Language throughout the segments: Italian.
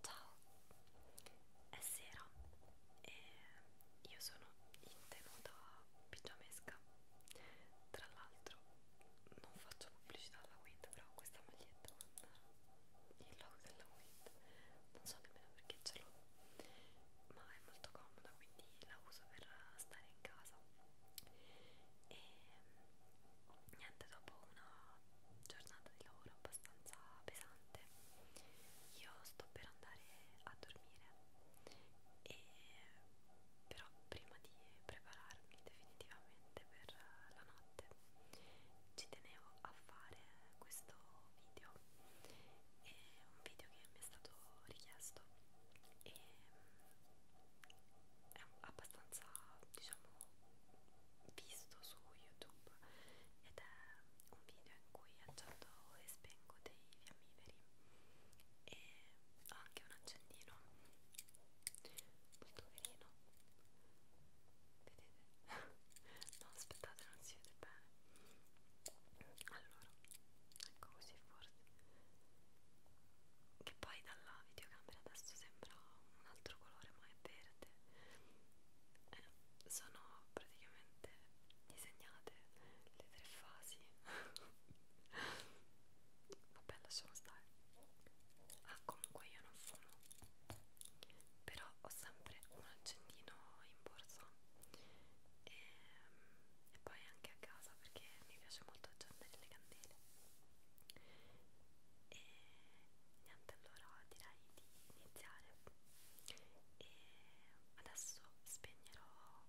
Ciao, è sera e io sono in tenuta pigiamesca. Tra l'altro, non faccio pubblicità alla WIT, però questa maglietta con il logo della WIT non so nemmeno perché ce l'ho, ma è molto comoda quindi la uso per stare in casa. E niente, dopo una giornata di lavoro abbastanza pesante io sto per andare a dormire e però prima di prepararmi definitivamente per la notte ci tenevo a fare questo video è un video che mi è stato richiesto e è abbastanza diciamo visto su YouTube ed è un video in cui accendo e spengo dei fiammiferi e ho anche un accendino molto carino vedete? no aspettate non si vede bene allora ecco così forse che poi dalla videocamera adesso sembra un altro colore ma è verde eh, sono praticamente disegnate le tre fasi vabbè lasciamo stare ah comunque io non fumo però ho sempre un accendino in borsa e, ehm, e poi anche a casa perché mi piace molto accendere le candele e niente allora direi di iniziare e adesso spegnerò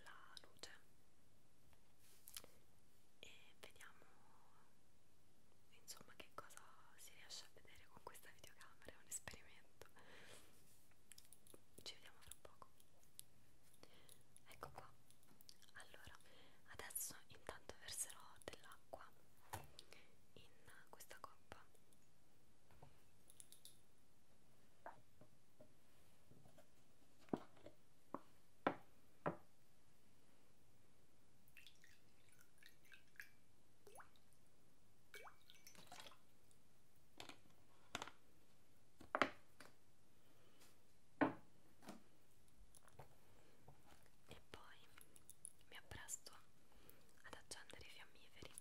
la luce e vediamo insomma che cosa si riesce a vedere con questa videocamera è un esperimento ci vediamo fra poco ecco qua allora adesso intanto verserò dell'acqua in questa coppa e poi mi appresto ad accendere i fiammiferi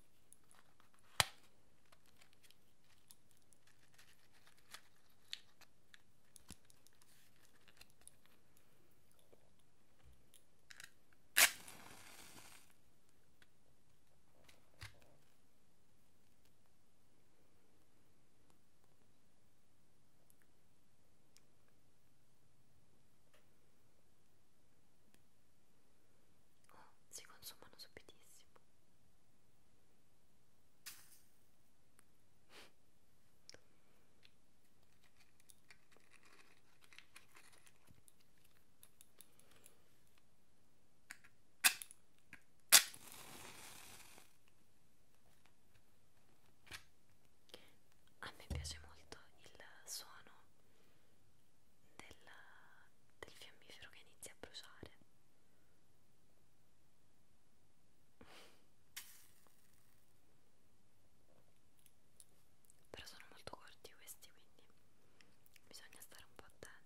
Oh, si consumano subitissimo. A me piace molto il suono del, del fiammifero che inizia a bruciare. Però sono molto corti questi, quindi bisogna stare un po' attenti.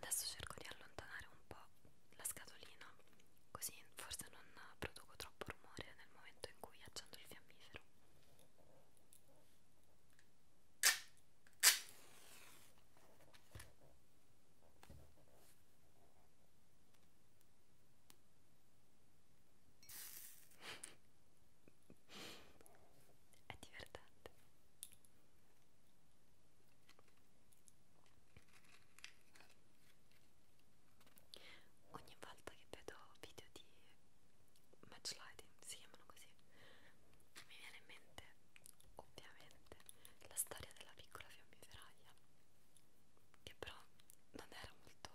Adesso cerco di allontanare un po' la scatolina, così forse non produco troppo rumore nel momento in cui accendo il fiammifero è divertente ogni volta che vedo video di match lighting si chiamano così mi viene in mente ovviamente la storia della piccola fiammiferaglia che però non era molto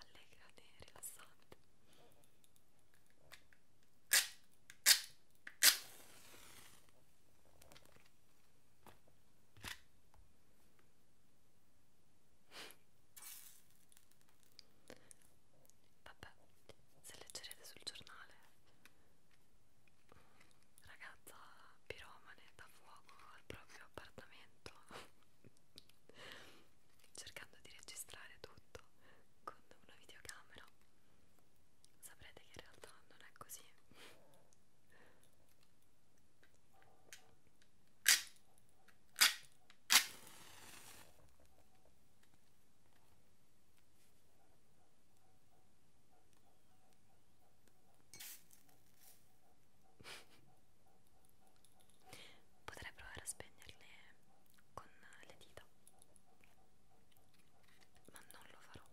allegra né rilassante Vabbè, se leggerete sul giornale, ragazza piromane da fuoco al proprio appartamento cercando di registrare tutto con una videocamera saprete che in realtà non è così Potrei provare a spegnerle con le dita, ma non lo farò.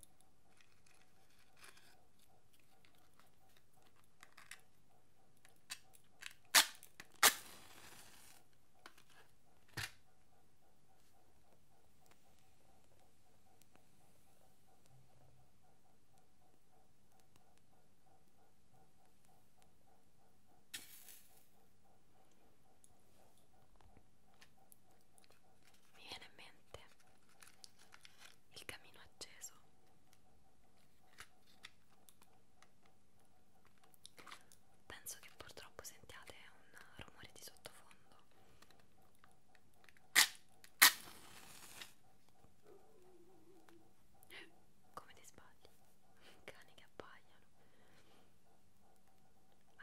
Mi viene in mente il camino acceso. Penso che purtroppo sentiate un rumore di sottofondo come ti sbagli? Cani che abbaiano,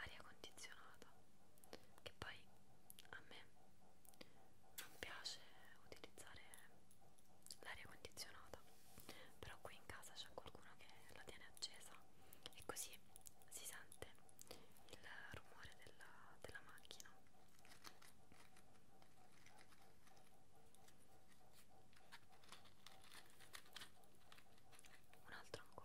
aria condizionata, che poi a me non piace utilizzare l'aria condizionata, però qui in casa c'è qualcuno che la tiene accesa e così si sente il rumore della, della macchina un altro ancora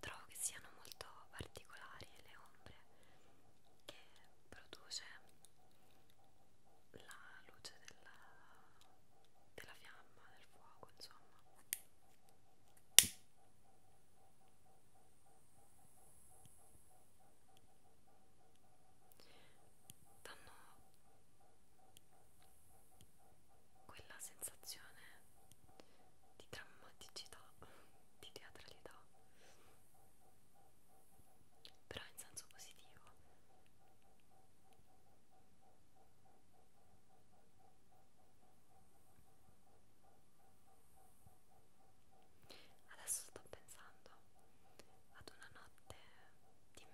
Trovo che siano molto particolari le ombre che produce la luce della, della fiamma, del fuoco, insomma. Danno quella sensazione di drammaticità, di teatralità, però in senso positivo. Adesso sto pensando pensando ad una notte d'inverno eh,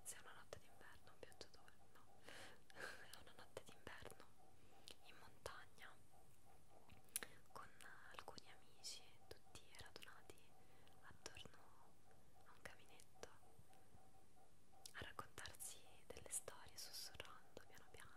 se è una notte d'inverno, pioggiatore, no è una notte d'inverno in montagna con alcuni amici tutti radunati attorno a un caminetto a raccontarsi delle storie sussurrando piano piano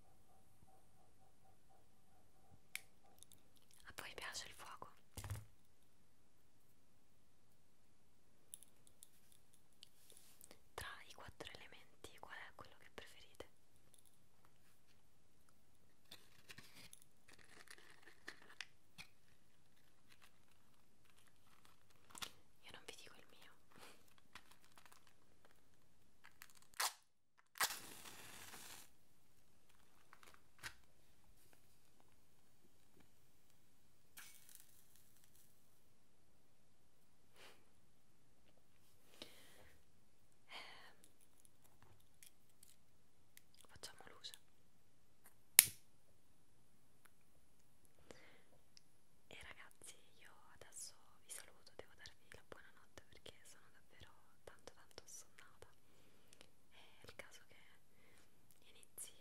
A voi piace il fuoco? Tra i quattro elementi qual è quello che preferite? Io non vi dico il mio. Facciamo luce e ragazzi io adesso vi saluto, devo darvi la buonanotte buonanotte perché sono davvero tanto tanto assonnata è il caso che inizi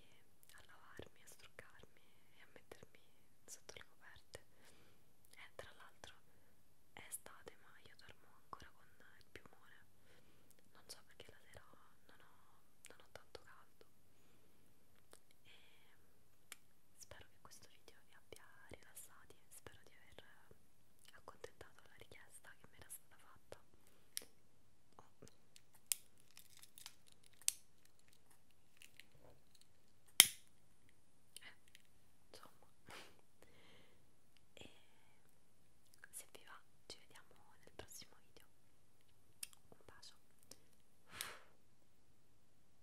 a lavarmi, a struccarmi e a mettermi sotto le coperte e tra l'altro è estate ma io dormo ancora con il piumone non so perché la sera non ho, non ho tanto caldo e Spero che questo video vi abbia rilassati, spero di aver accontentato la richiesta che mi era stata fatta. Oh. Eh, insomma, e se vi va, ci vediamo nel prossimo video. Un bacio.